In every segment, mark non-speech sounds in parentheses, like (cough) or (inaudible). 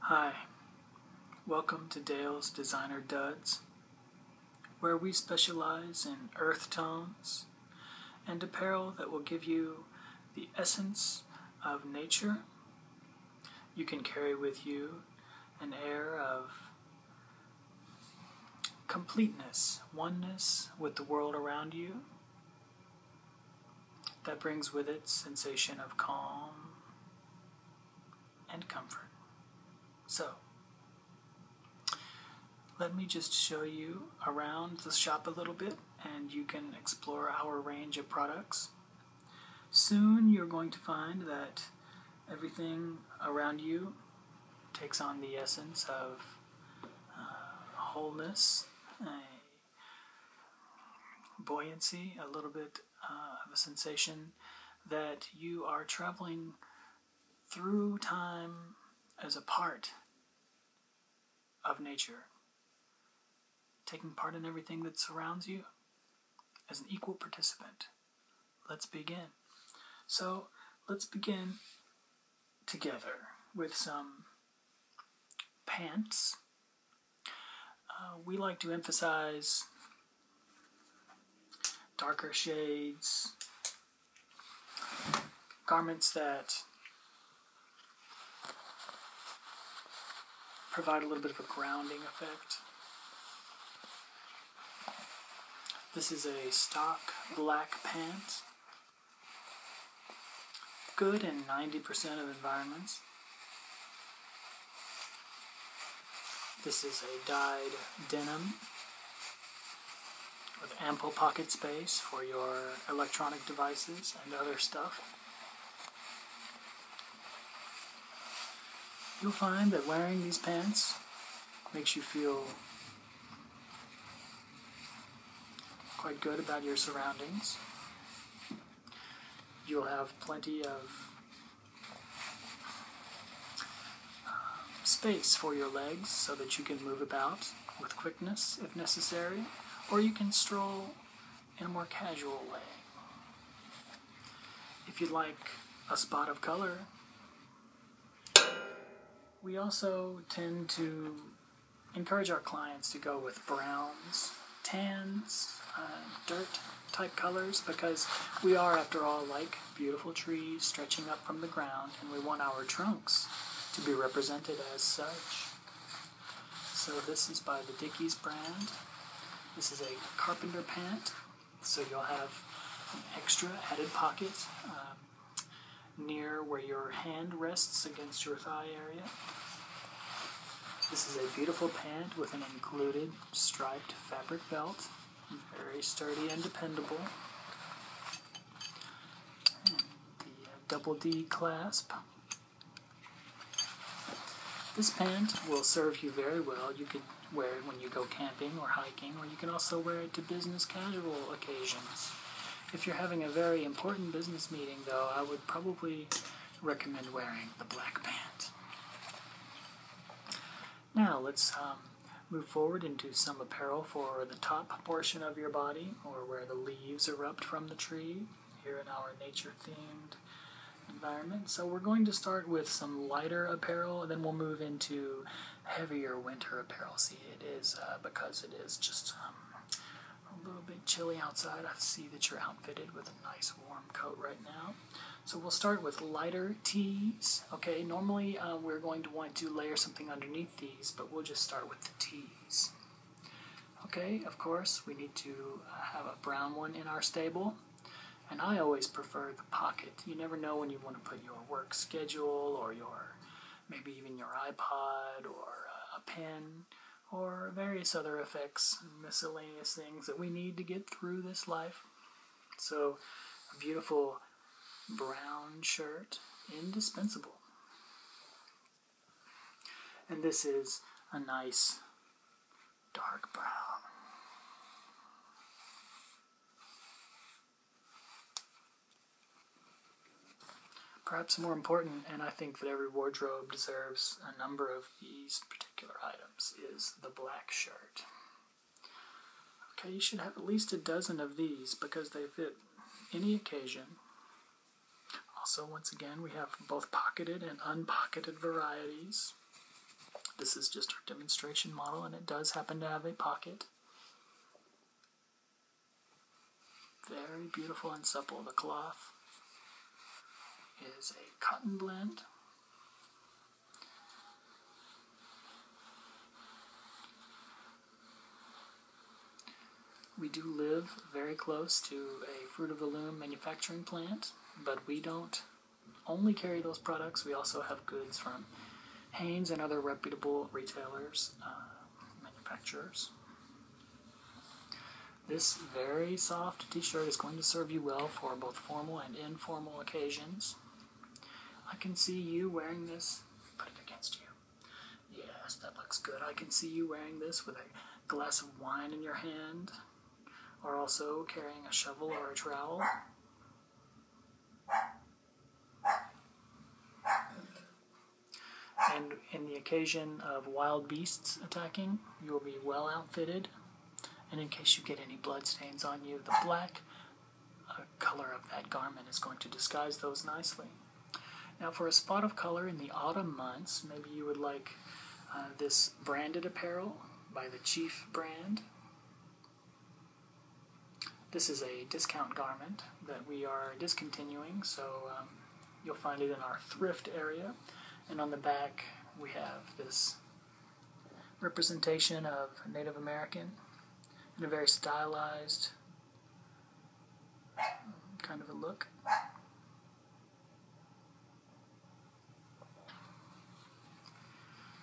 Hi, welcome to Dale's Designer Duds, where we specialize in earth tones and apparel that will give you the essence of nature. You can carry with you an air of completeness, oneness with the world around you, that brings with it sensation of calm and comfort. So, let me just show you around the shop a little bit and you can explore our range of products. Soon you're going to find that everything around you takes on the essence of uh, wholeness buoyancy, a little bit uh, of a sensation that you are traveling through time as a part of nature, taking part in everything that surrounds you as an equal participant. Let's begin. So, let's begin together with some pants uh, we like to emphasize darker shades, garments that provide a little bit of a grounding effect. This is a stock black pant good in 90% of environments. This is a dyed denim with ample pocket space for your electronic devices and other stuff. You'll find that wearing these pants makes you feel quite good about your surroundings you'll have plenty of uh, space for your legs so that you can move about with quickness if necessary, or you can stroll in a more casual way. If you'd like a spot of color, we also tend to encourage our clients to go with browns, tans, uh, dirt type colors because we are, after all, like beautiful trees stretching up from the ground, and we want our trunks to be represented as such. So this is by the Dickies brand. This is a carpenter pant, so you'll have an extra added pocket um, near where your hand rests against your thigh area. This is a beautiful pant with an included striped fabric belt. Very sturdy and dependable. the double D clasp. This pant will serve you very well. You could wear it when you go camping or hiking, or you can also wear it to business casual occasions. If you're having a very important business meeting, though, I would probably recommend wearing the black pants. Now, let's um, move forward into some apparel for the top portion of your body, or where the leaves erupt from the tree, here in our nature themed environment. So, we're going to start with some lighter apparel, and then we'll move into heavier winter apparel. See, it is uh, because it is just. Um, a little bit chilly outside. I see that you're outfitted with a nice warm coat right now. So we'll start with lighter tees. Okay, normally uh, we're going to want to layer something underneath these, but we'll just start with the tees. Okay, of course, we need to uh, have a brown one in our stable. And I always prefer the pocket. You never know when you want to put your work schedule or your maybe even your iPod or uh, a pen or various other effects and miscellaneous things that we need to get through this life. So, beautiful brown shirt, indispensable. And this is a nice dark brown. Perhaps more important, and I think that every wardrobe deserves a number of these particular items, is the black shirt. Okay, you should have at least a dozen of these because they fit any occasion. Also, once again, we have both pocketed and unpocketed varieties. This is just our demonstration model, and it does happen to have a pocket. Very beautiful and supple. The cloth is a cotton blend. We do live very close to a Fruit of the Loom manufacturing plant, but we don't only carry those products. We also have goods from Haynes and other reputable retailers. Uh, manufacturers. This very soft t-shirt is going to serve you well for both formal and informal occasions. I can see you wearing this. Put it against you. Yes, that looks good. I can see you wearing this with a glass of wine in your hand, or also carrying a shovel or a trowel. And in the occasion of wild beasts attacking, you will be well outfitted. And in case you get any bloodstains on you, the black uh, color of that garment is going to disguise those nicely. Now, for a spot of color in the autumn months, maybe you would like uh, this branded apparel by the Chief brand. This is a discount garment that we are discontinuing, so um, You'll find it in our thrift area. And on the back, we have this representation of Native American in a very stylized kind of a look.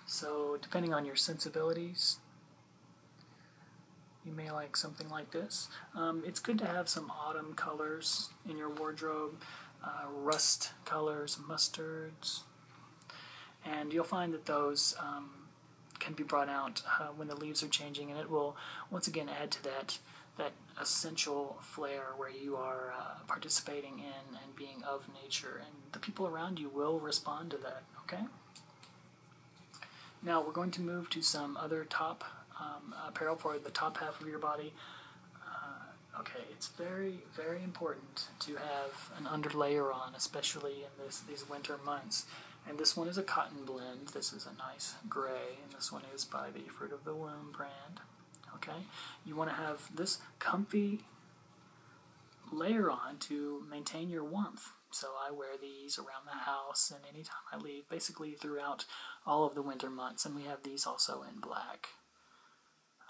So, depending on your sensibilities, you may like something like this. Um, it's good to have some autumn colors in your wardrobe, uh, rust colors, mustards, and you'll find that those um, can be brought out uh, when the leaves are changing, and it will once again add to that that essential flair where you are uh, participating in and being of nature, and the people around you will respond to that. Okay. Now we're going to move to some other top um, apparel for the top half of your body. Uh, okay, it's very, very important to have an underlayer on, especially in this these winter months. And this one is a cotton blend. This is a nice gray, and this one is by the Fruit of the Womb brand. Okay, you want to have this comfy layer on to maintain your warmth so I wear these around the house and anytime I leave, basically throughout all of the winter months. And we have these also in black.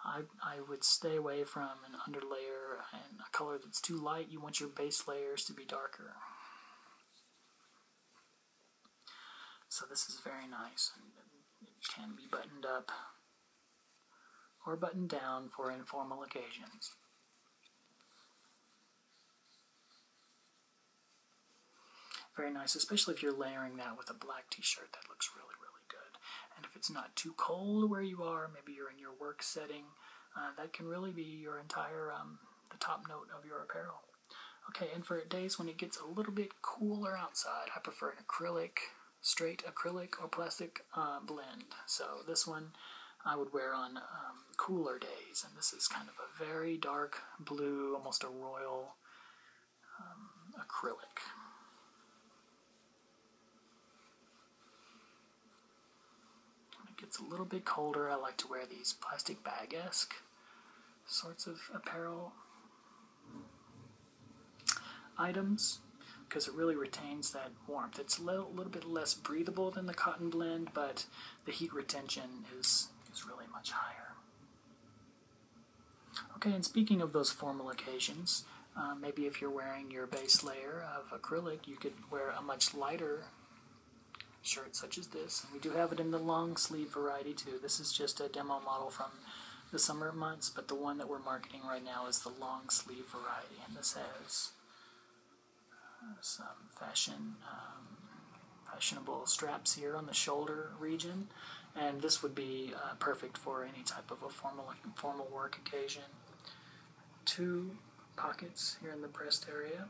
I, I would stay away from an underlayer and a color that's too light. You want your base layers to be darker. So this is very nice. And it can be buttoned up or buttoned down for informal occasions. Very nice, especially if you're layering that with a black t-shirt. That looks really, really good. And if it's not too cold where you are, maybe you're in your work setting, uh, that can really be your entire, um, the top note of your apparel. Okay, and for days when it gets a little bit cooler outside, I prefer an acrylic, straight acrylic or plastic uh, blend. So this one, I would wear on um, cooler days. And this is kind of a very dark blue, almost a royal um, acrylic. When it gets a little bit colder, I like to wear these plastic bag esque sorts of apparel items because it really retains that warmth. It's a little bit less breathable than the cotton blend, but the heat retention is, is really much higher. Okay, and speaking of those formal occasions, uh, maybe if you're wearing your base layer of acrylic, you could wear a much lighter shirt such as this. we do have it in the long sleeve variety too. This is just a demo model from the summer months, but the one that we're marketing right now is the long sleeve variety, and this has some fashion um, fashionable straps here on the shoulder region and this would be uh, perfect for any type of a formal formal work occasion two pockets here in the breast area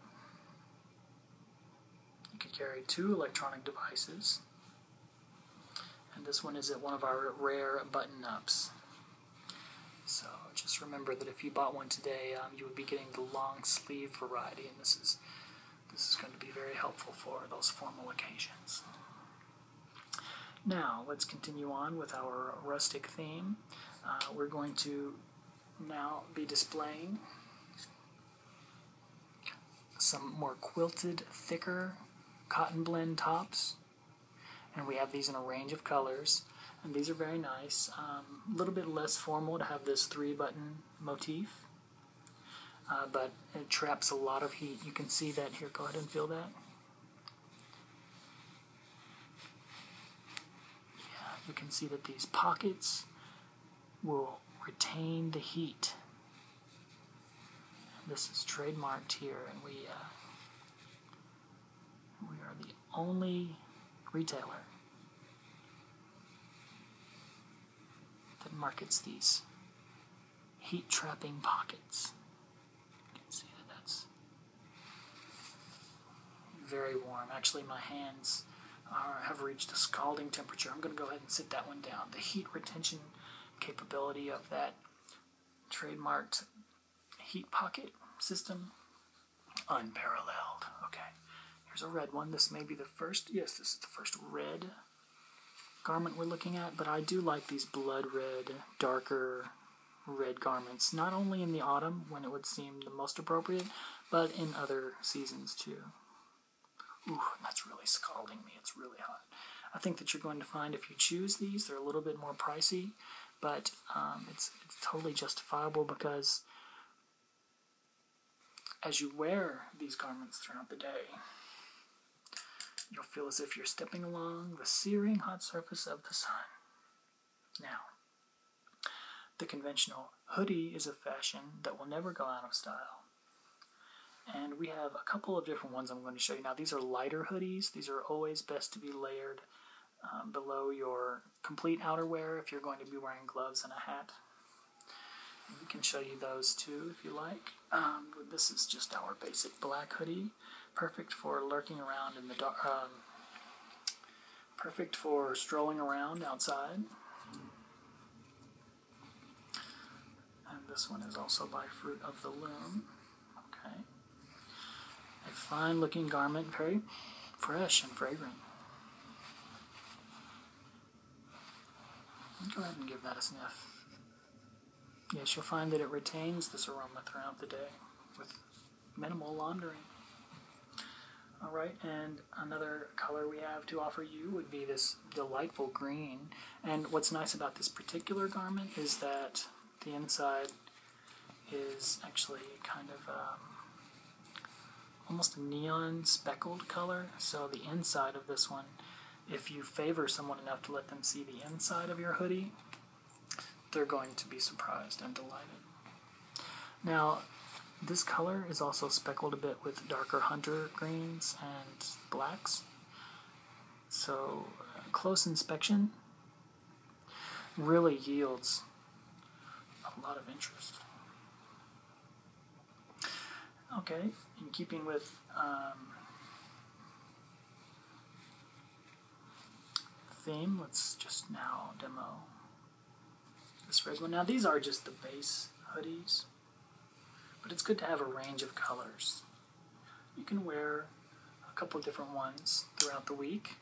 you could carry two electronic devices and this one is one of our rare button ups so just remember that if you bought one today, um, you would be getting the long sleeve variety, and this is this is going to be very helpful for those formal occasions. Now let's continue on with our rustic theme. Uh, we're going to now be displaying some more quilted, thicker cotton blend tops. And we have these in a range of colors. And these are very nice. Um, a little bit less formal to have this three button motif, uh, but it traps a lot of heat. You can see that here. Go ahead and feel that. Yeah, you can see that these pockets will retain the heat. This is trademarked here, and we uh, we are the only retailer that markets these heat trapping pockets. You can see that that's very warm. Actually, my hands have reached a scalding temperature. I'm going to go ahead and sit that one down. The heat retention capability of that trademarked heat pocket system. Unparalleled. Okay. Here's a red one. This may be the first. Yes, this is the first red garment we're looking at, but I do like these blood red, darker red garments, not only in the autumn when it would seem the most appropriate, but in other seasons too. Ooh, that's really scalding me. It's really hot. I think that you're going to find if you choose these, they're a little bit more pricey but um, it's, it's totally justifiable because as you wear these garments throughout the day, you'll feel as if you're stepping along the searing hot surface of the sun. Now, the conventional hoodie is a fashion that will never go out of style. And we have a couple of different ones I'm going to show you. Now, these are lighter hoodies. These are always best to be layered um, below your complete outerwear if you're going to be wearing gloves and a hat. we can show you those too if you like. Um, this is just our basic black hoodie, perfect for lurking around in the dark, um, perfect for strolling around outside. And this one is also by Fruit of the Loom. Okay. A fine looking garment, very fresh and fragrant. Go ahead and give that a sniff. Yes, you'll find that it retains this aroma throughout the day with minimal laundering. All right, and another color we have to offer you would be this delightful green. And what's nice about this particular garment is that the inside is actually kind of um, almost a neon speckled color. So the inside of this one, if you favor someone enough to let them see the inside of your hoodie, they're going to be surprised and delighted. Now, this color is also speckled a bit with darker hunter greens and blacks. So, uh, close inspection really yields a lot of interest. Okay, in keeping with um, theme, let's just now demo this red one. Now these are just the base hoodies, but it's good to have a range of colors. You can wear a couple different ones throughout the week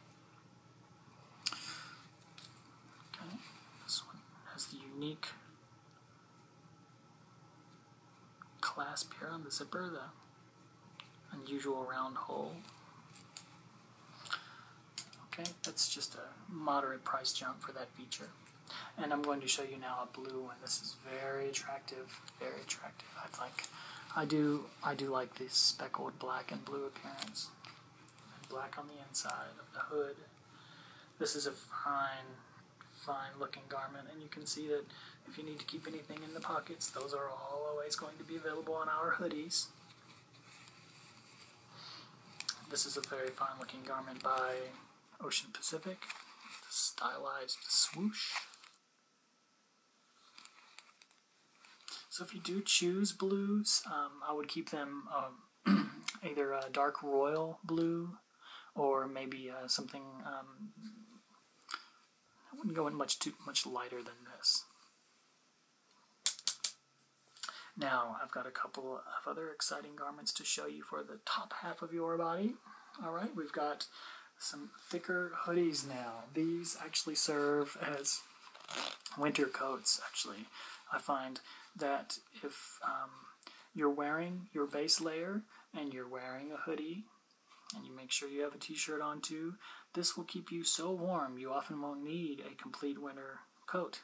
Okay, this one has the unique clasp here on the zipper, the unusual round hole. Okay, that's just a moderate price jump for that feature. And I'm going to show you now a blue one. This is very attractive, very attractive, I think. I do I do like the speckled black and blue appearance. And black on the inside of the hood. This is a fine, fine looking garment, and you can see that if you need to keep anything in the pockets, those are all always going to be available on our hoodies. This is a very fine looking garment by Ocean Pacific. Stylized swoosh. So if you do choose blues, um, I would keep them um, (clears throat) either dark royal blue or maybe uh, something. Um, I wouldn't go in much too much lighter than this. Now I've got a couple of other exciting garments to show you for the top half of your body. All right, we've got some thicker hoodies now. These actually serve as winter coats, actually. I find that if um, you're wearing your base layer and you're wearing a hoodie, and you make sure you have a t shirt on too, this will keep you so warm you often won't need a complete winter coat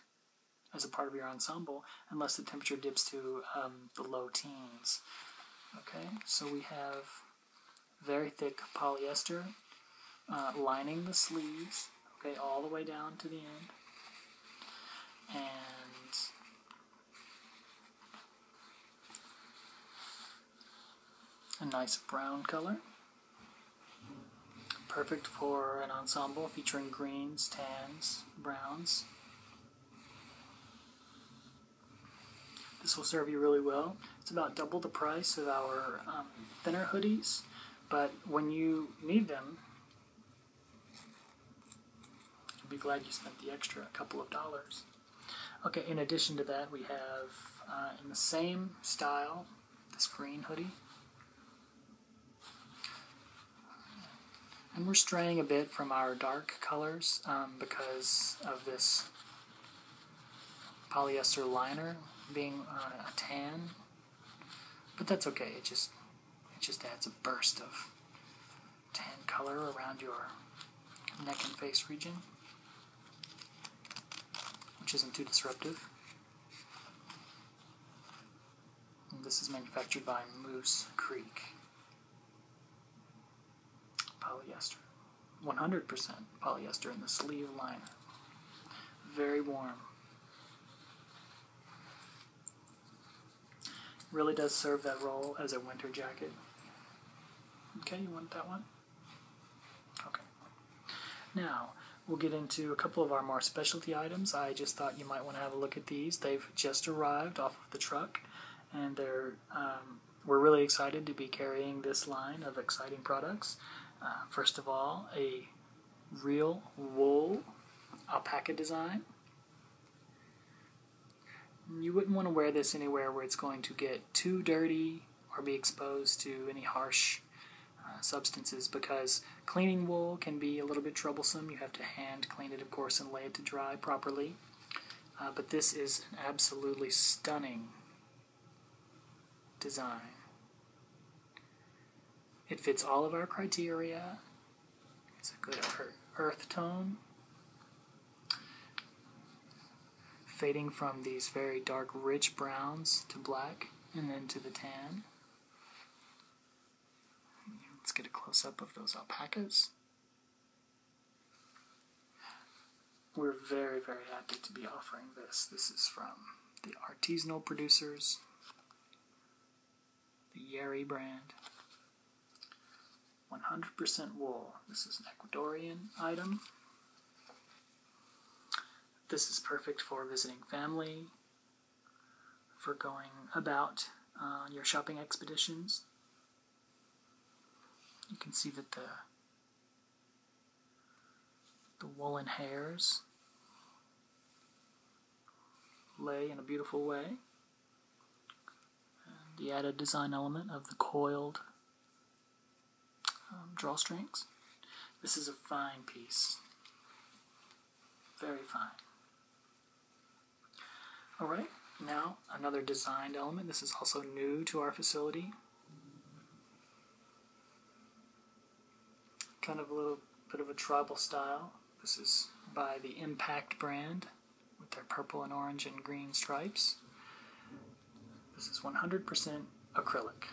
as a part of your ensemble unless the temperature dips to um, the low teens. Okay, so we have very thick polyester uh, lining the sleeves, okay, all the way down to the end. And a nice brown color. Perfect for an ensemble featuring greens, tans, browns. This will serve you really well. It's about double the price of our um, thinner hoodies, but when you need them, be glad you spent the extra couple of dollars. Okay, in addition to that, we have uh, in the same style this green hoodie. And we're straying a bit from our dark colors um, because of this polyester liner being a tan. But that's okay. It just it just adds a burst of tan color around your neck and face region, which isn't too disruptive. this is manufactured by Moose Creek. Polyester. 100% polyester in the sleeve liner. Very warm. Really does serve that role as a winter jacket. Okay, you want that one? Okay. Now, we'll get into a couple of our more specialty items. I just thought you might want to have a look at these. They've just arrived off of the truck and they're um, we're really excited to be carrying this line of exciting products. Uh, first of all, a real wool alpaca design. You wouldn't want to wear this anywhere where it's going to get too dirty or be exposed to any harsh uh, substances because cleaning wool can be a little bit troublesome. You have to hand clean it, of course, and lay it to dry properly. Uh, but this is an absolutely stunning design. It fits all of our criteria. It's a good earth tone. Fading from these very dark, rich browns to black and then to the tan. Let's get a close up of those alpacas. We're very, very happy to be offering this. This is from the artisanal producers, the Yari brand. 100% wool. This is an Ecuadorian item. This is perfect for visiting family, for going about uh, your shopping expeditions, you can see that the the woolen hairs lay in a beautiful way. the added design element of the coiled um, drawstrings. This is a fine piece. Very fine. Alright, now another designed element. This is also new to our facility. Kind of a little bit of a tribal style. This is by the Impact brand with their purple and orange and green stripes. This is 100% acrylic.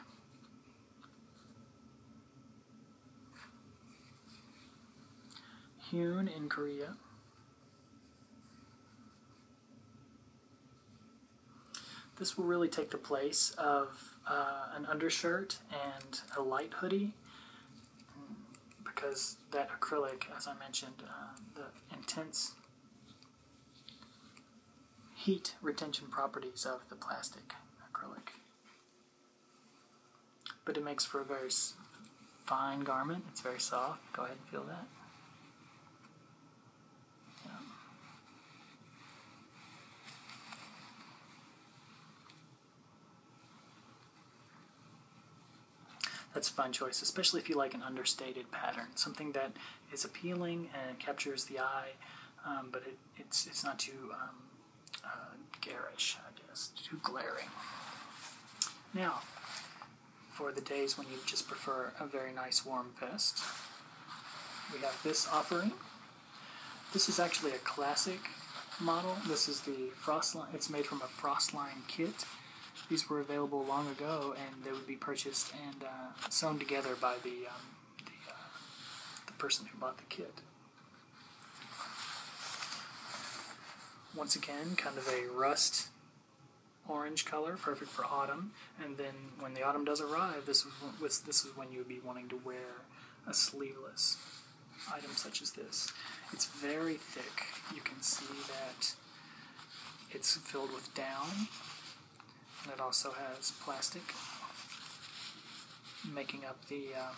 Hewn in Korea. This will really take the place of uh, an undershirt and a light hoodie because that acrylic, as I mentioned, uh, the intense heat retention properties of the plastic acrylic. But it makes for a very fine garment. It's very soft. Go ahead and feel that. That's a fun choice, especially if you like an understated pattern, something that is appealing and captures the eye, um, but it's, it's not too um, uh, garish, I guess, too glaring. Now, for the days when you just prefer a very nice warm vest. We have this offering. This is actually a classic model. This is the frost line. It's made from a frost line kit. These were available long ago, and they would be purchased and uh, sewn together by the, um, uh, the person who bought the kit. Once again, kind of a rust orange color, perfect for autumn. And then when the autumn does arrive, this is this is when you would be wanting to wear a sleeveless item such as this. It's very thick. You can see that it's filled with down, and it also has plastic making up the uh,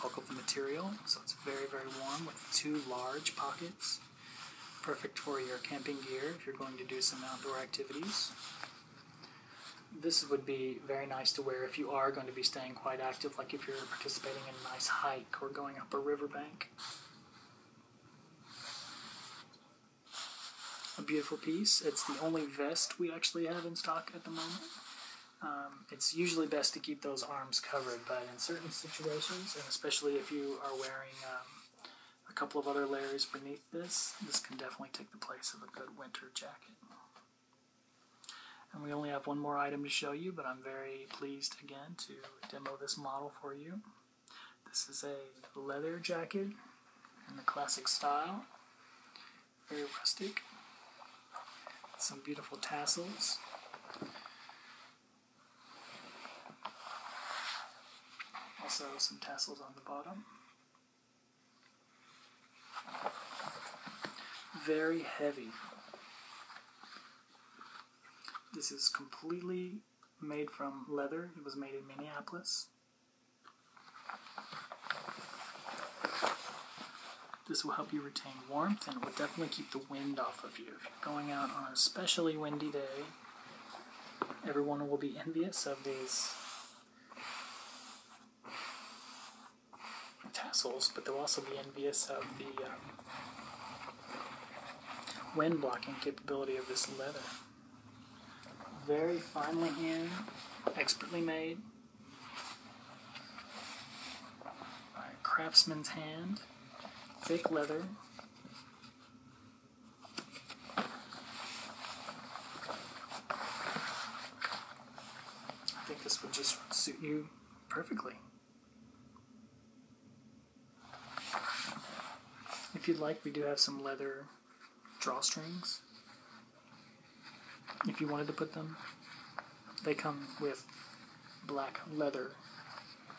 bulk of the material. So it's very very warm with two large pockets Perfect for your camping gear if you're going to do some outdoor activities. This would be very nice to wear if you are going to be staying quite active, like if you're participating in a nice hike or going up a riverbank. A beautiful piece. It's the only vest we actually have in stock at the moment. Um, it's usually best to keep those arms covered, but in certain situations, and especially if you are wearing um, a couple of other layers beneath this, this can definitely take the place of a good winter jacket. And we only have one more item to show you, but I'm very pleased again to demo this model for you. This is a leather jacket in the classic style, very rustic, some beautiful tassels. Also some tassels on the bottom. Very heavy. This is completely made from leather. It was made in Minneapolis. This will help you retain warmth and it will definitely keep the wind off of you going out on a specially windy day. Everyone will be envious of these tassels, but they'll also be envious of the um, wind blocking capability of this leather. Very finely hand, expertly made by a craftsman's hand thick leather. I think this would just suit you perfectly. If you'd like, we do have some leather drawstrings if you wanted to put them they come with black leather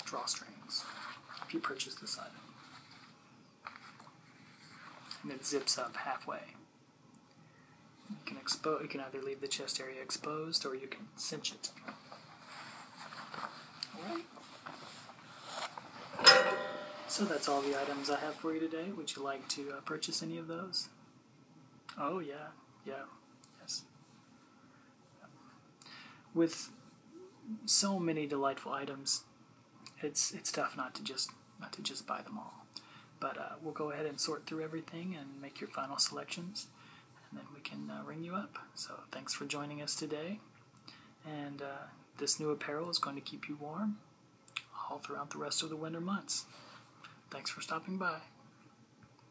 drawstrings if you purchase this item. And it zips up halfway. You can expose you can either leave the chest area exposed or you can cinch it. Alright. So that's all the items I have for you today. Would you like to uh, purchase any of those? Oh yeah, yeah, yes. With so many delightful items, it's it's tough not to just not to just buy them all. But uh, we'll go ahead and sort through everything and make your final selections, and then we can uh, ring you up. So thanks for joining us today, and uh, this new apparel is going to keep you warm all throughout the rest of the winter months. Thanks for stopping by.